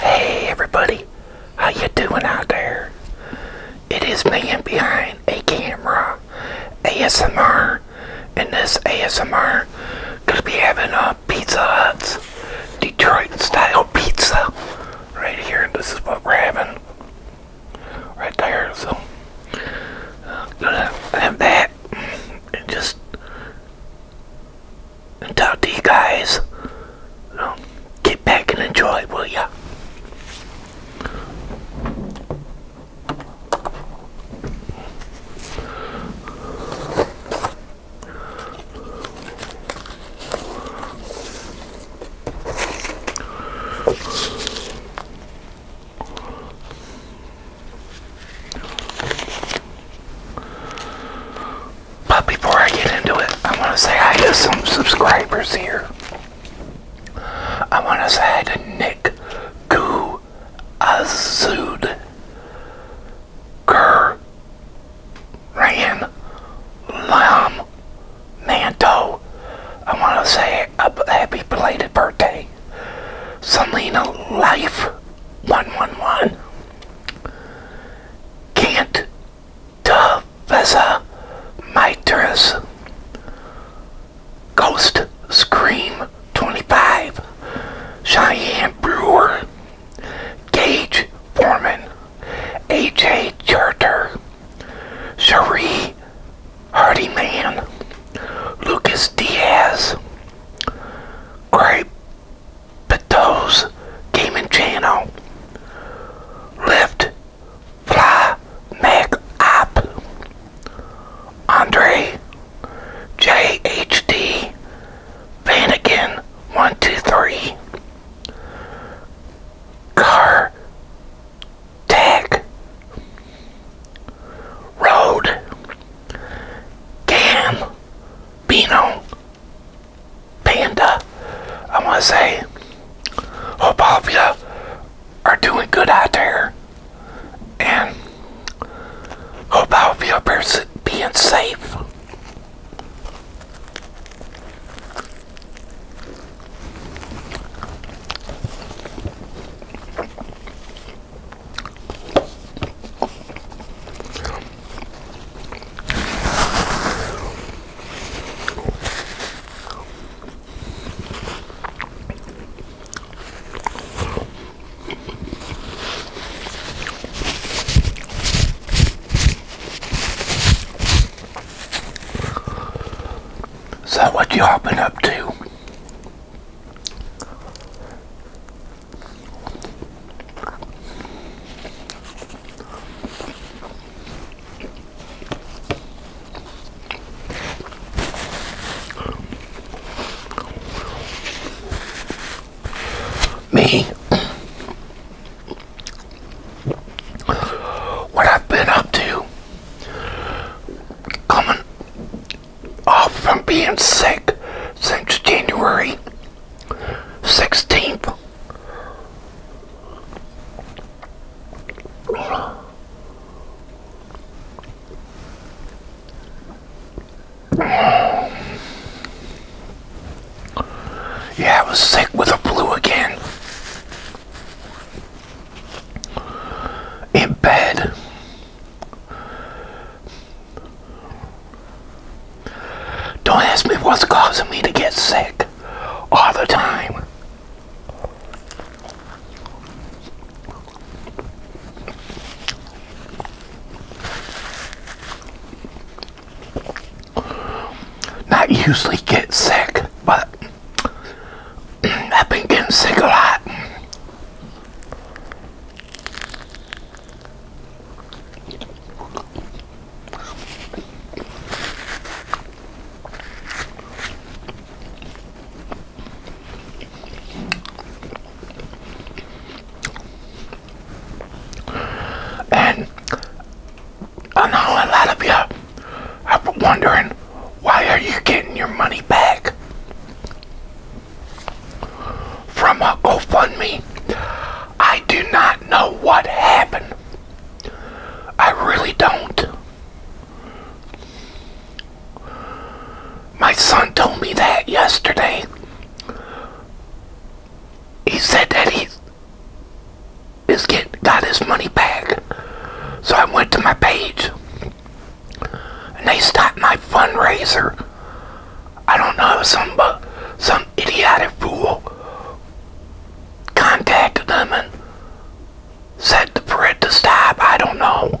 Hey everybody, how you doing out there? It is man behind a camera, ASMR, and this ASMR gonna be having a uh, Pizza Hut's Detroit style pizza right here. This is what we're having right there. So I'm gonna have that and just and talk to you guys. Um, get back and enjoy, will ya? But before I get into it, I want to say I have some subscribers here. I want to say hi to Nick Goo Azud Gur Ran Lam Manto. I want to say a happy belated birthday. Selena Life 111. Can't Tavesa Mitras Ghost Scream 25 Cheyenne Brewer Gage Foreman AJ Charter Cherie Hardyman Lucas Diaz Craig Pito's Gaming Channel, Lift, Fly, Mac Up, Andre, JHD, Vanagon, 123, Car, Tag, Road, Gam, Pino Panda, I want to say. Hope all of you are doing good out there. And hope all of you are being safe. Is that what y'all been up to? Me, what I've been up to coming off from being sick since January 16th. Yeah, I was sick with a flu again. In bed. Don't ask me what's causing me to get sick all the time. Not usually get sick, but I've been getting sick a lot. And I know a lot of you are wondering why are you getting your money back? from a GoFundMe. I do not know what happened. I really don't. My son told me that yesterday. He said that he is get got his money back. So I went to my page and they stopped my fundraiser. I don't know, some, uh, some idiotic fool contacted them and said for it to stop. I don't know.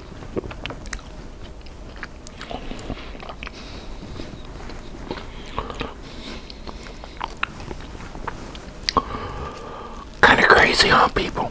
Kind of crazy, huh, people?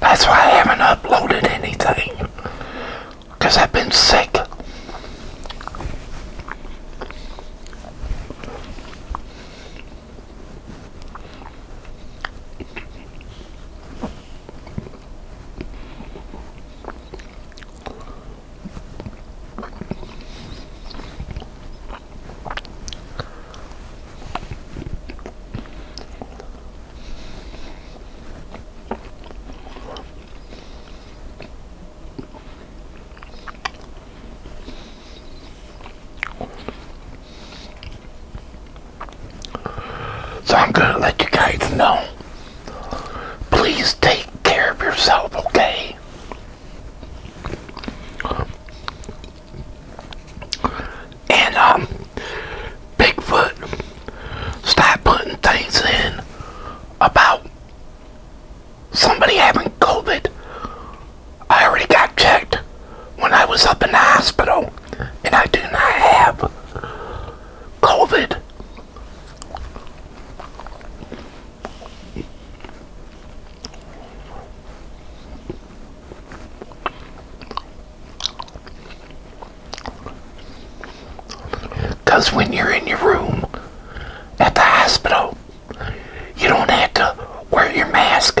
That's why I haven't uploaded anything. Because I've been sick. So I'm going to let you guys know. Please take care of yourself, okay? And um, Bigfoot stop putting things in about somebody having COVID. I already got checked when I was up in the hospital, and I do not have COVID. Because when you're in your room at the hospital, you don't have to wear your mask.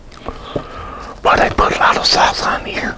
But I put a lot of sauce on here.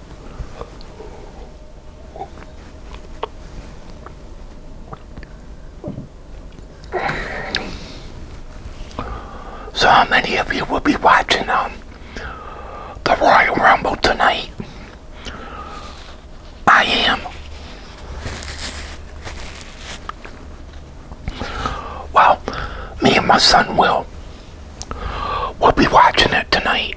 So how many of you will be watching um, the Royal Rumble tonight? I am. Well, me and my son will. We'll be watching it tonight.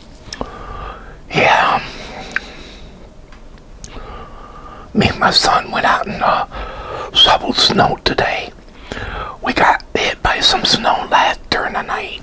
Yeah. Me and my son went out and uh, shoveled snow today. We got hit by some snow last during the night.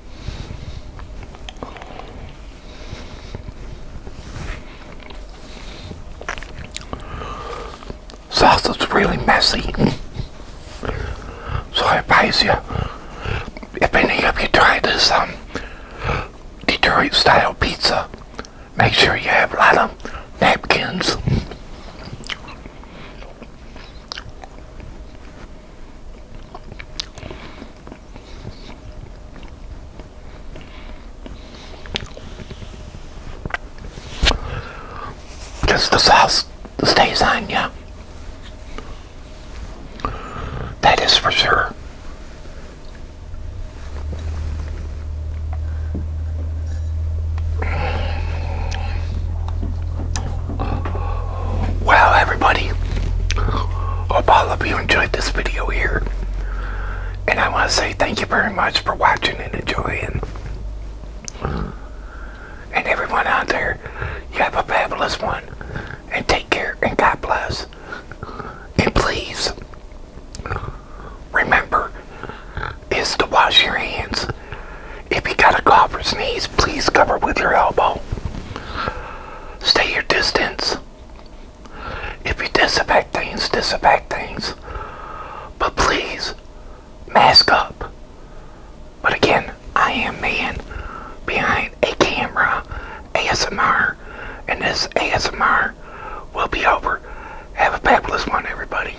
Sauce is really messy. So I advise you, if any of you try this um, Detroit style pizza, make sure you have a lot of napkins. Because the sauce stays on you. That is for sure. Wow, everybody, I hope all of you enjoyed this video here. And I want to say thank you very much for watching and enjoying. And everyone out there, you have a fabulous one. And take care and God bless. And please, remember, is to wash your hands if you got a cough or sneeze, please cover with your elbow. Stay your distance. If you disinfect things, disinfect things. But please, mask up. But again, I am man behind a camera ASMR, and this ASMR will be over. Have a fabulous one, everybody.